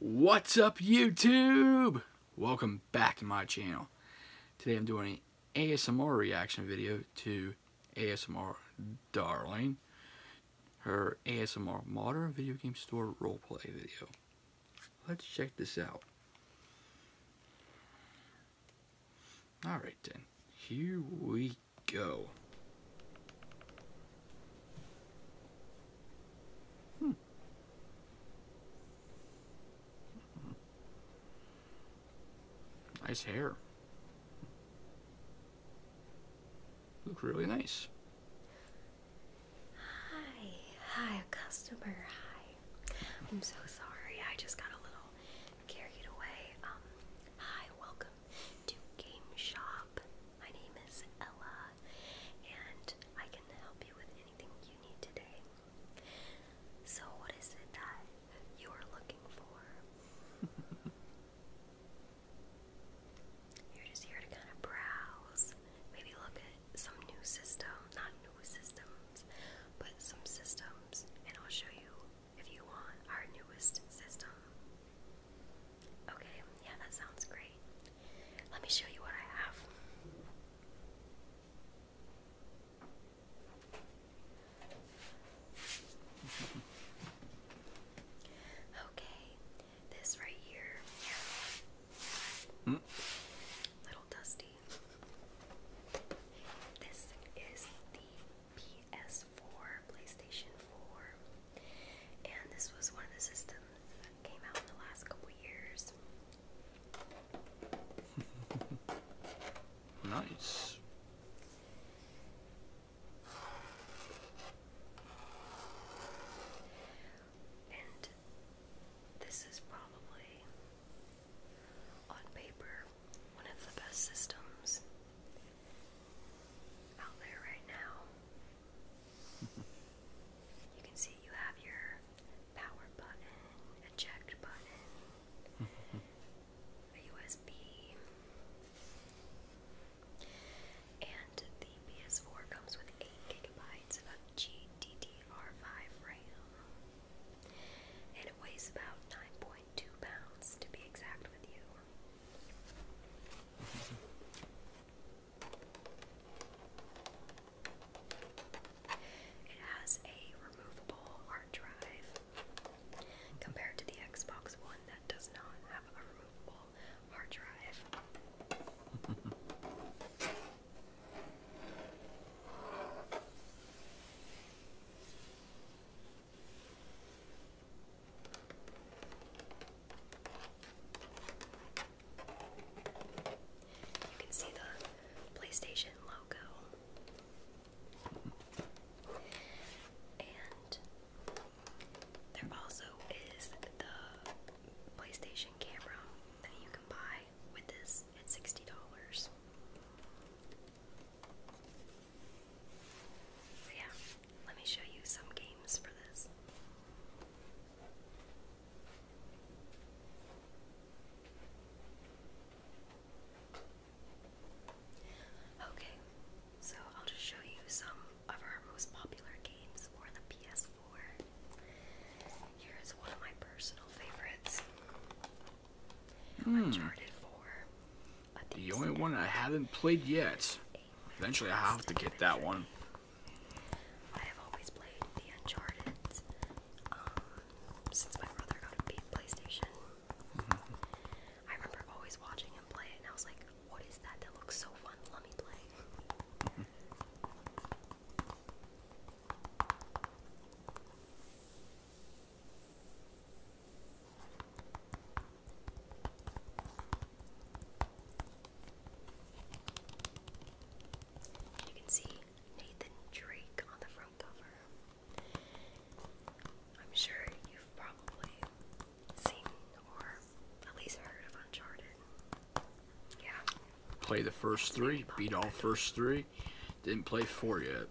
What's up YouTube? Welcome back to my channel. Today I'm doing an ASMR reaction video to ASMR Darling, her ASMR Modern Video Game Store roleplay video. Let's check this out. Alright then, here we go. Hmm. Nice hair. Look really nice. Hi, hi, customer. Hi. I'm so sorry. I just got a little carried away. Um, hi, welcome to Game Shop. My name is Ella, and I can help you with anything you need today. So, what is it that you are looking for? You're just here to kind of browse, maybe look at some new system, not new systems, but some systems, and I'll show you, if you want, our newest system. Okay, yeah, that sounds great. Let me show you what I have. Okay, this right here. Mm. Little dusty. This is the PS4, PlayStation 4. And this was one of the systems that came out in the last couple years. nice. And this is probably, on paper, one of the best systems out there right now. You can see you have your power button, eject button, a USB, and the PS4 comes with 8 gigabytes of GDDR5 RAM. And it weighs about 9.2 pounds to be exact with you. It has a removable hard drive compared to the Xbox One that does not have a removable hard drive. You can see the PlayStation logo. And there also is the PlayStation camera that you can buy with this at $60. yeah, let me show you some games for this. Okay, so I'll just show you some of our most popular games for the PS4. Here's one of my personal favorites. Hmm. Uncharted 4. The only one I haven't played yet. Eventually, i have to get that one. I have always played the Uncharted um, since my brother got a PlayStation. Mm-hmm. I remember always watching him play it, and I was like, what is that? That looks so fun. Let me play. Mm-hmm you can see Nathan Drake on the front cover. I'm sure you've probably seen or at least heard of Uncharted. Yeah. Play the first three, beat all first three. Didn't play four yet.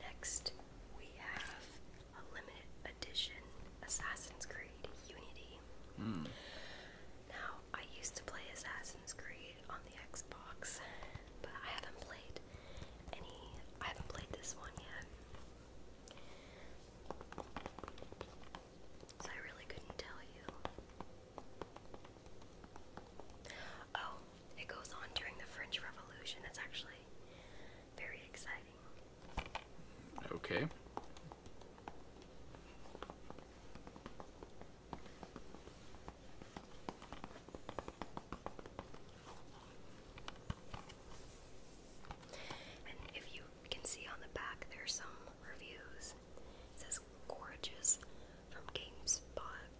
Next, we have a limited edition Assassin's Creed Unity. Hmm. Now, I used to play Assassin's Creed on the Xbox, but I haven't played any. I haven't played this one yet. So I really couldn't tell you. Oh, it goes on during the French Revolution. It's actually very exciting. Okay. And if you can see on the back, there's some reviews. It says gorgeous from GameSpot,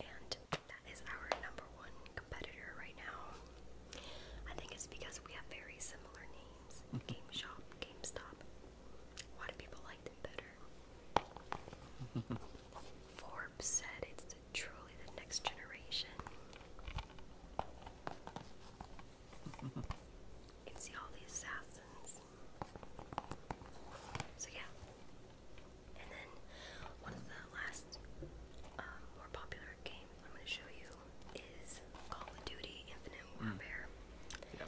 and that is our number one competitor right now. I think it's because we have very similar names. Mm-hmm. Game Shop, GameStop. Why do people like them better? Forbes said it's truly the next generation. You can see all the assassins. So yeah, and then one of the last um, more popular games I'm going to show you is Call of Duty Infinite hmm. Warfare. Yeah.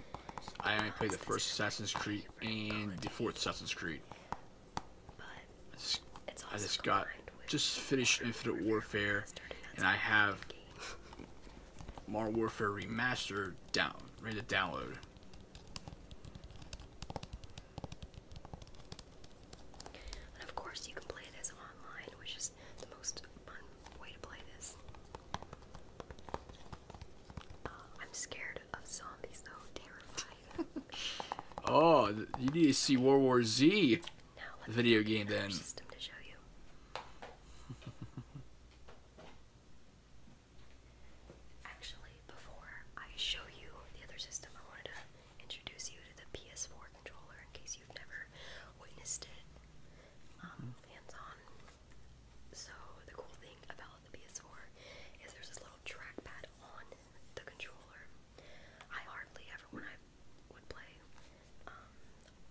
I only played the first Assassin's Creed and the fourth Assassin's Creed. I just, got just finished Infinite Warfare, and I have Modern Warfare Remastered down, ready to download of course, you can play this online, which is the most fun way to play this. Uh, I'm scared of zombies, though. Terrified. oh, you need to see War War Z video game then. Actually, before I show you the other system, I wanted to introduce you to the PS4 controller in case you've never witnessed it um, hands on. So, the cool thing about the PS4 is there's this little trackpad on the controller. I hardly ever, when I would play um,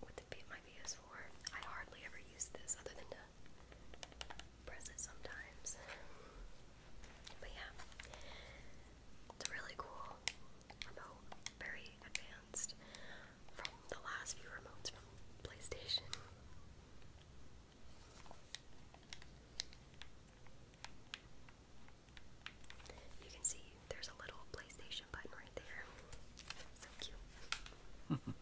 with my PS4, I hardly ever use this other than to press it sometimes. But yeah, it's really cool remote, very advanced from the last few remotes from PlayStation. You can see there's a little PlayStation button right there. So cute.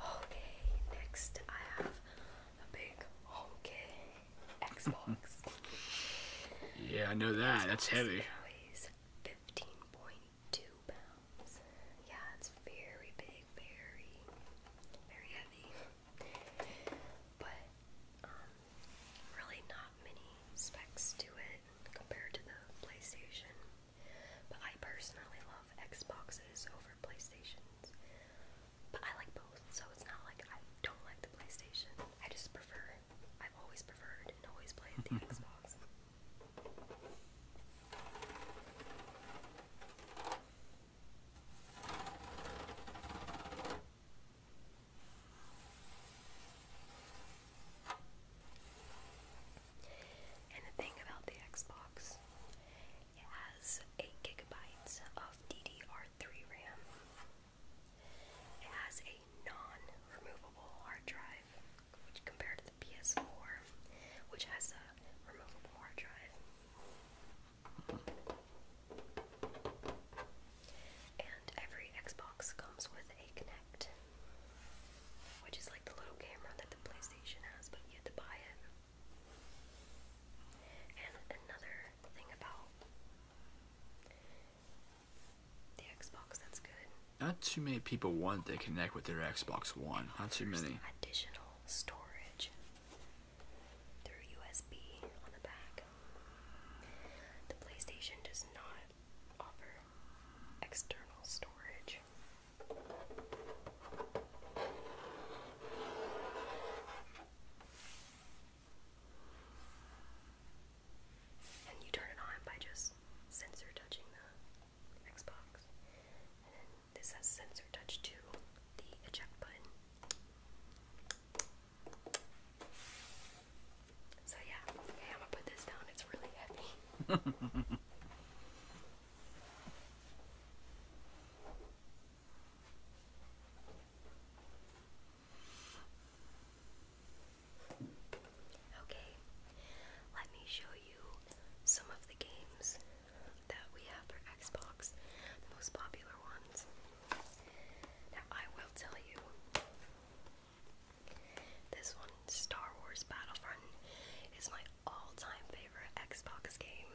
Okay, next I have a big honky Xbox. yeah, I know that. That's heavy. Weighs fifteen point two pounds. Yeah, it's very big, very, very heavy. But um, really not many specs to it compared to the PlayStation. But I personally love Xboxes over PlayStations. But I like both, so it's not like I don't like the PlayStation. I just prefer, I've always preferred and always played the Xbox. And the thing about the Xbox, it has 8 gigabytes of DDR3 RAM. It has a non-removable hard drive, which compared to the PS4, which has a removable hard drive. And every Xbox comes with a Kinect, which is like the little camera that the PlayStation has, but you had to buy it. And another thing about the Xbox that's good. Not too many people want to connect with their Xbox One. Not too many. Additional storage through USB on the back. The PlayStation does not offer external storage. And you turn it on by just sensor touching the Xbox. this has sensor touch to the eject button. So yeah, okay, I'm gonna put this down. It's really heavy. okay, let me show you some of the games that we have for Xbox, the most popular ones. Now, I will tell you this one, Star Wars Battlefront, is my all-time favorite Xbox game.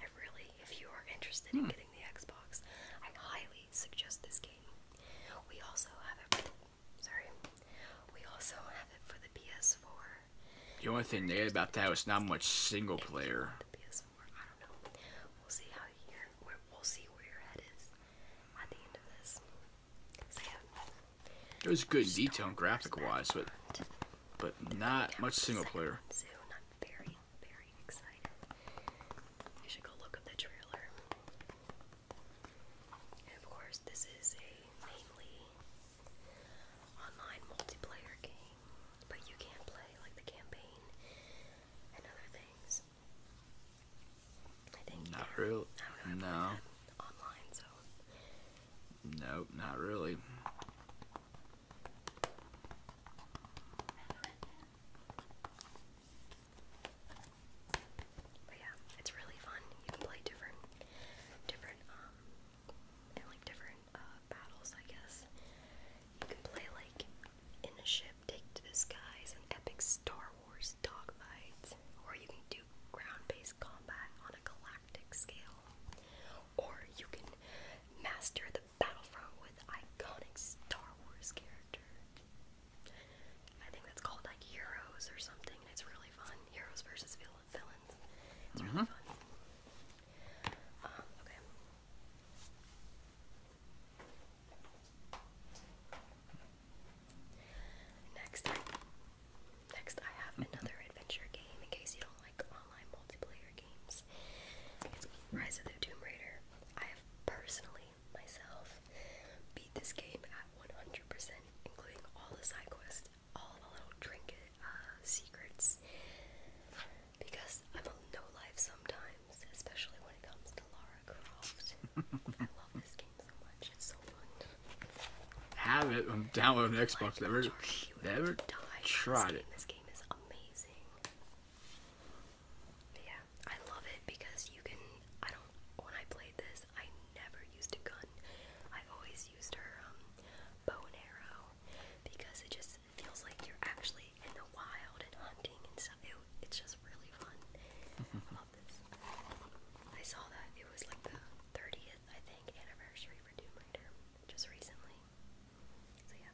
I really, if you are interested in hmm. getting the Xbox, I highly suggest this game. We also have it. For the, sorry, we also have it for the PS4. The only thing negative about that was not much single player. It was good detail and graphic wise, but but not much single player. Soon, i very, very excited. You should go look up the trailer. of course, this is a mainly online multiplayer game, but you can play like the campaign and other things. I think. Not really. No. Nope, not really. But yeah, it's really fun. You can play different, different, um, like different uh, battles, I guess. You can play like in a ship Take to the skies in epic Star Wars dogfights, or you can do ground-based combat on a galactic scale, or you can master the battlefront with iconic Star Wars characters. I think that's called like Heroes or something, it's really fun. Heroes versus villains. It's really mm-hmm. fun. Um, Next, next I have another adventure game. In case you don't like online multiplayer games, it's Rise of the Tomb Raider. I have personally myself beat this game at 100%, including all the side quests, all the little trinket uh, secrets, because I'm a no life sometimes, especially when it comes to Lara. I love this game so much. It's so fun. Have it I'm downloading Xbox. Never, never tried it. This game is amazing. yeah, I love it because you can. I don't. When I played this, I never used a gun. I always used her um, bow and arrow because it just feels like you're actually in the wild and hunting and stuff it's just really fun I saw that it was like the 30th, I think, anniversary for Doom Raider just recently. So, yeah.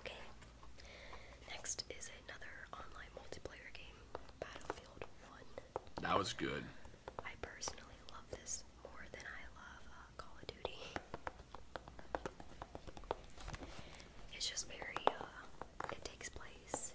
Okay. Next is another online multiplayer game, Battlefield 1. That was good. I personally love this more than I love uh, Call of Duty. It's just very, uh, it takes place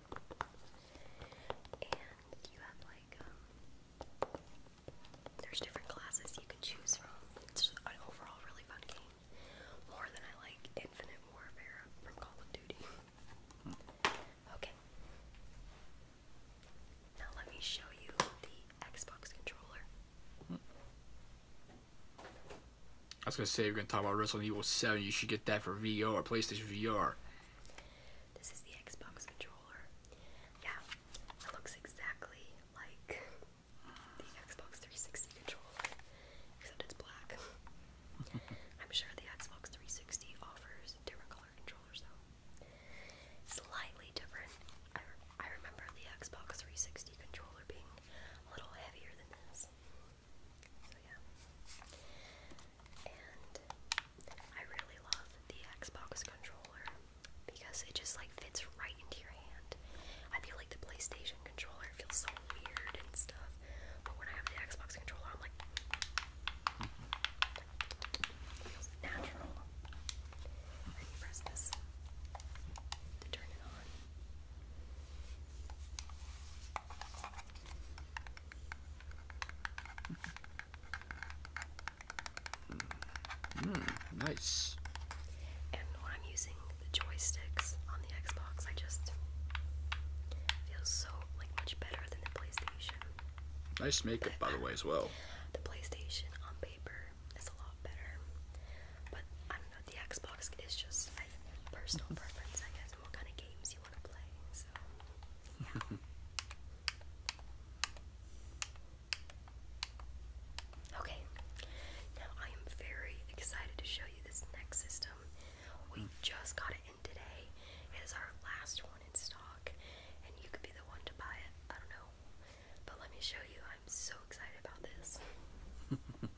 And you have like um there's different classes you can choose from. It's an overall really fun game. More than I like Infinite Warfare from Call of Duty. Okay. Now let me show you the Xbox controller. I was gonna say you're gonna talk about Resident Evil 7, you should get that for VR, or PlayStation VR. This is the Xbox controller. Yeah, it looks exactly like the Xbox 360 controller, except it's black. I'm sure the Xbox 360 offers different color controllers, though. Slightly different. I, remember the Xbox 360 controller being a little heavier than this. So, yeah. I really love the Xbox controller because it just like fits right into your hand. I feel like the PlayStation controller feels so weird and stuff, but when I have the Xbox controller, I'm like, feels natural. press this to turn it on. Hmm, nice. And when I'm using the joysticks on the Xbox, I just feel so like much better than the PlayStation. Nice makeup, by the way, as well. The PlayStation on paper is a lot better, but I don't know. The Xbox is just personal preference, I guess, what kind of games you want to play. okay, now I am very excited to show you this next system. We hmm. just got it in today. It is our last one in stock, and you could be the one to buy it. I don't know. But let me show you. I'm so excited about this.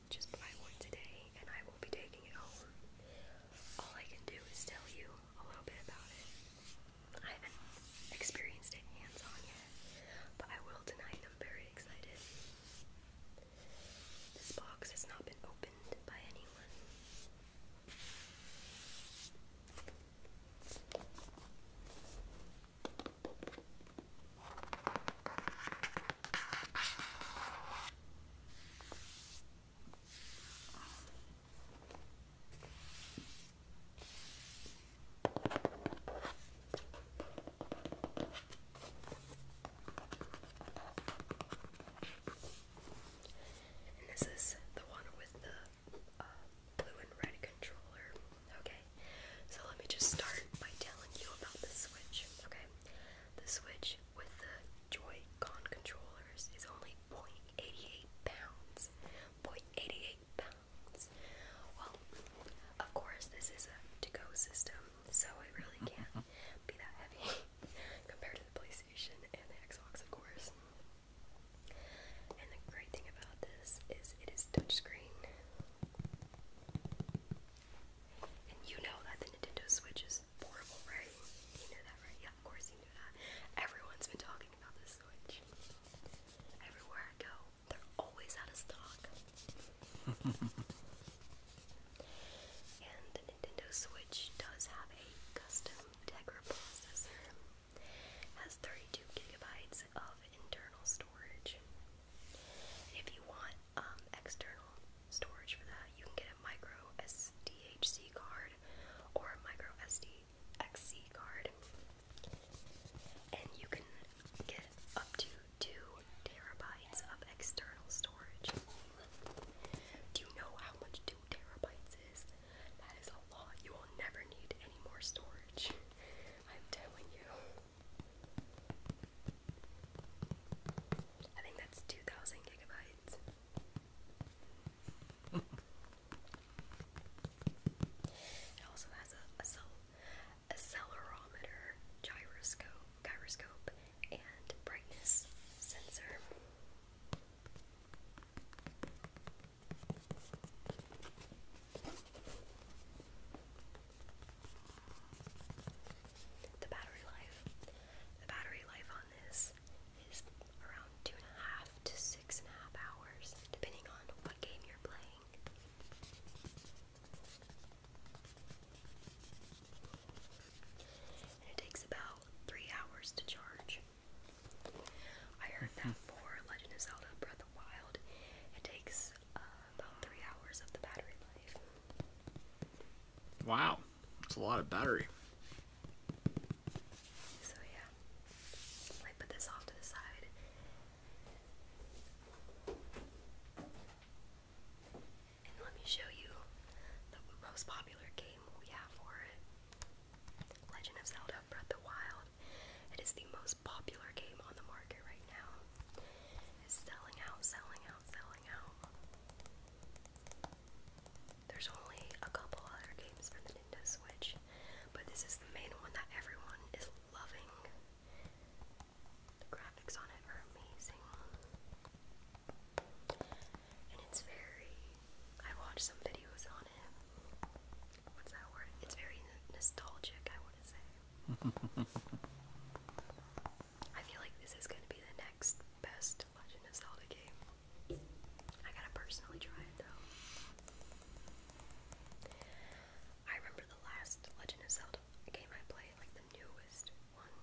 just buy one today, and I will be taking it home. All I can do is tell you a little bit about it. I haven't experienced it hands on yet, but I will tonight. I'm very excited. This box has not been opened by anyone this is the one with the uh, blue and red controller. Okay, so let me just start by telling you about the Switch. Okay, the Switch with the Joy-Con controllers is only 0.88 pounds. 0.88 pounds. Well, of course, this is a to-go system, so it really can't be that heavy compared to the PlayStation and the Xbox, of course. And the great thing about this is it is touchscreen you know that the Nintendo Switch is portable, right? You knew that, right? Yeah, of course you knew that. Everyone's been talking about the Switch. Everywhere I go, they're always out of stock. and the Nintendo Switch does have a custom Tegra processor. Has 32 gigabytes of internal storage. If you want um, external storage for that. You can get a micro SDHC card or a micro SDXC card, and you can get up to two terabytes of external storage. Do you know how much two terabytes is? That is a lot. You will never need any more storage. I'm telling you. I think that's 2,000 gigabytes. it also has a, accelerometer, gyroscope, gyroscope, and brightness sensor. The battery life. The battery life on this is around two and a half to six and a half hours, depending on what game you're playing. And it takes about three hours to charge. I heard that mm-hmm. for Legend of Zelda Breath of the Wild, it takes uh, Wow, that's a lot of battery. So yeah, I put this off to the side. And let me show you the most popular game we have for it. Legend of Zelda Breath of the Wild. It is the most popular game on the market right now. It's selling out, selling there's only a couple other games for the Nintendo Switch, but this is the main one that everyone is loving. The graphics on it are amazing. And it's very. I watched some videos on it. What's that word? It's very nostalgic, I want to say. I feel like this is gonna be the next best Legend of Zelda game. I gotta personally try it though. I remember the last Legend of Zelda game I played, like the newest one,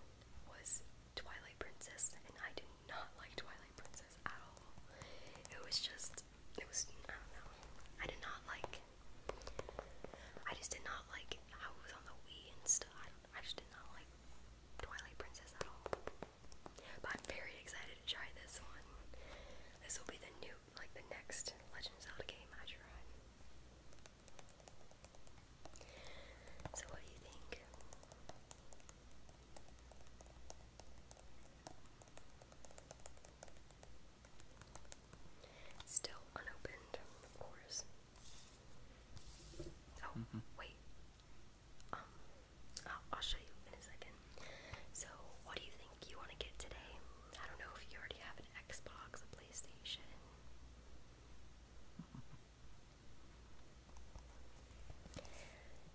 was Twilight Princess, and I did not like Twilight Princess at all. It was just, it was, I don't know. I did not like, I just did not like how was on the Wii and I just did not like Twilight Princess at all. But I'm very excited to try this one. This will be the new, like the next Legend of Zelda game I try. So what do you think? Still unopened, of course. Oh, mm-hmm. wait. Um, I'll show you in a second. So, what do you think you want to get today? I don't know if you already have an Xbox, a PlayStation.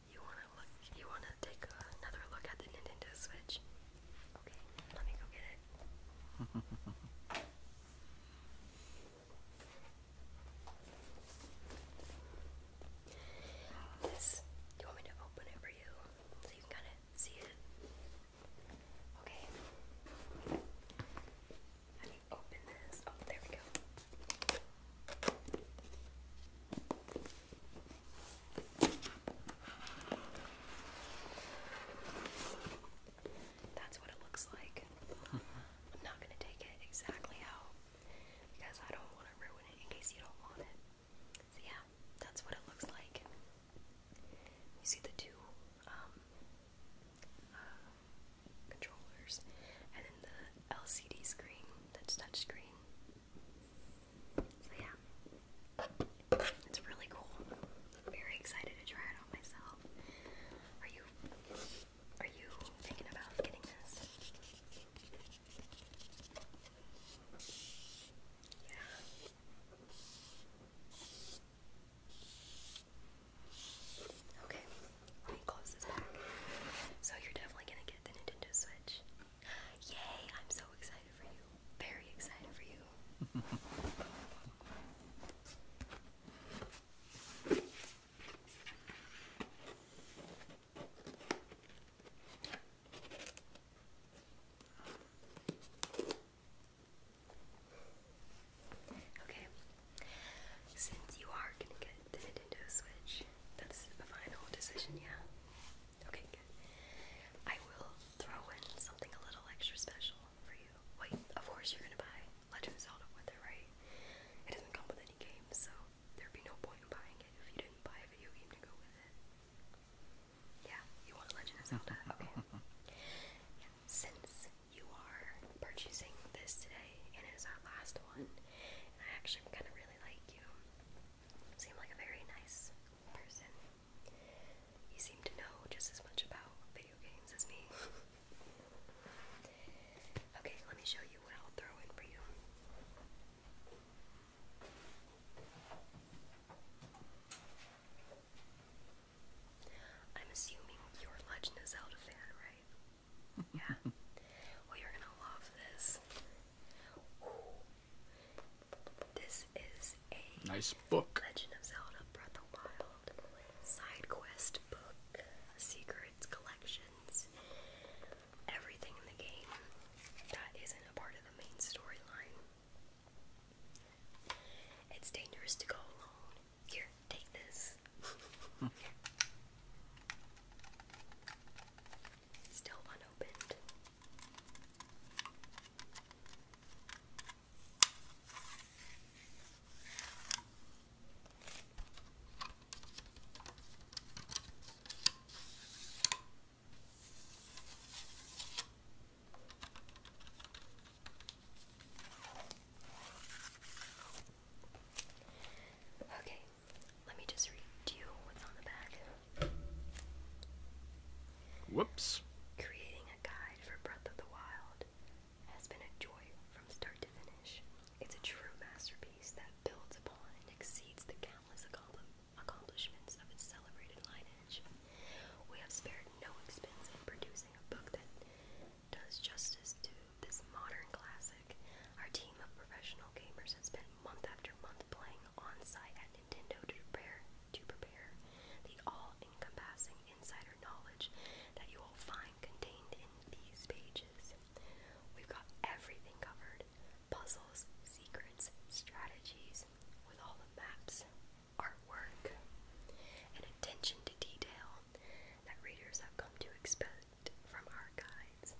You wanna look? You wanna take another look at the Nintendo Switch? Okay, let me go get it. This, do you want me to open it for you so you can kind of see it? Okay. How do you open this? Oh, there we go. That's what it looks like. I'm not gonna take it exactly out because I don't want to ruin it in case you don't want it. So yeah, that's what it looks like. You see the two um, uh, controllers, and then the LCD screen that's touchscreen. So yeah, it's really cool. very excited to try it on myself. Are you are you thinking about getting this? Yeah. Okay, let me close this back. So you're definitely gonna get the Nintendo Switch. Yay! I'm so excited for you. Very excited for you. Okay, since you are gonna get the Nintendo Switch, that's a final decision, yeah? Okay, good. I will throw in something a little extra special for you. Wait, of course you're gonna buy Legend of Zelda with it, right? It doesn't come with any games, so there'd be no point in buying it if you didn't buy a video game to go with it. Yeah, you want Legend of Zelda, okay. Yeah, since you are purchasing this today, and it is our last one, and I actually kind of really like you. you seem like a very nice person. You seem to know just as much about video games as me. Okay, let me show you what I'll throw in for you. I'm assuming you're a Legend of Zelda fan, right? yeah. you're gonna love this. This is a nice book. Legend of Zelda Breath of Wild side quest book, secrets, collections, everything in the game that isn't a part of the main storyline. It's dangerous to go alone. Here, take this. Still unopened. Okay, let me just read you what's on the back. Whoops. Creating a guide for Breath of the Wild has been a joy from start to finish. It's a true masterpiece that builds upon and exceeds the countless accomplishments of its celebrated lineage. We have spared no expense in producing a book that does justice to this modern classic. Our team of professional gamers has spent month after month playing on site at Nintendo to prepare to prepare the all-encompassing insider knowledge that you will find contained in these pages. We've got everything covered puzzles, secrets, strategies, with all the maps, artwork, and attention to detail that readers have come to expect from our guides.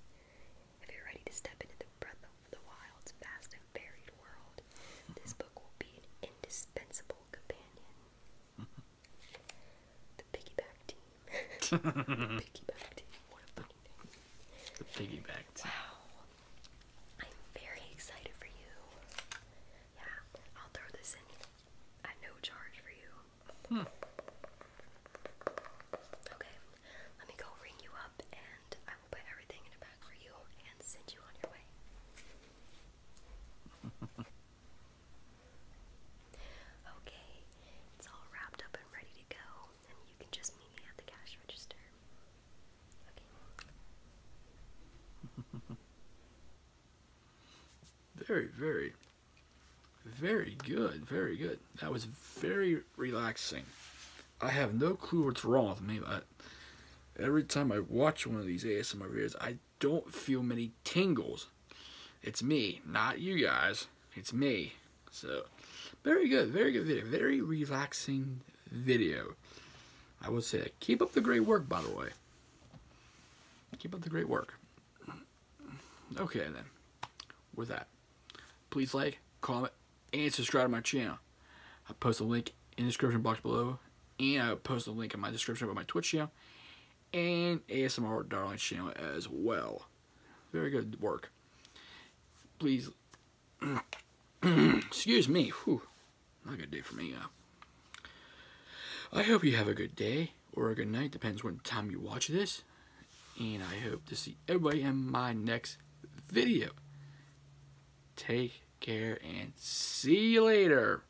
If you're ready to step into the breath of the wild's vast and varied world, this book will be an indispensable companion. the piggyback team. the piggyback team. What a fucking name. The piggyback team. Wow. I'm very excited for you. Yeah, I'll throw this in at no charge for you. Hmm. Okay, let me go ring you up and I will put everything in a bag for you and send you on your way. Okay, it's all wrapped up and ready to go, and you can just meet me at the cash register. Okay. very, very, very good. Very good. That was very relaxing. I have no clue what's wrong with me, but every time I watch one of these ASMR videos, I don't feel many tingles. It's me, not you guys. It's me. So, very good, very good video. Very relaxing video. I would say Keep up the great work, by the way. Keep up the great work. Okay, then. With that, please like, comment, and subscribe to my channel. I'll post a link in the description box below, and I'll post a link in my description about my Twitch channel and ASMR Darling channel as well. Very good work. Please, excuse me. Whew. Not a good day for me. Uh. I hope you have a good day or a good night, depends when time you watch this. And I hope to see everybody in my next video. Take care and see you later.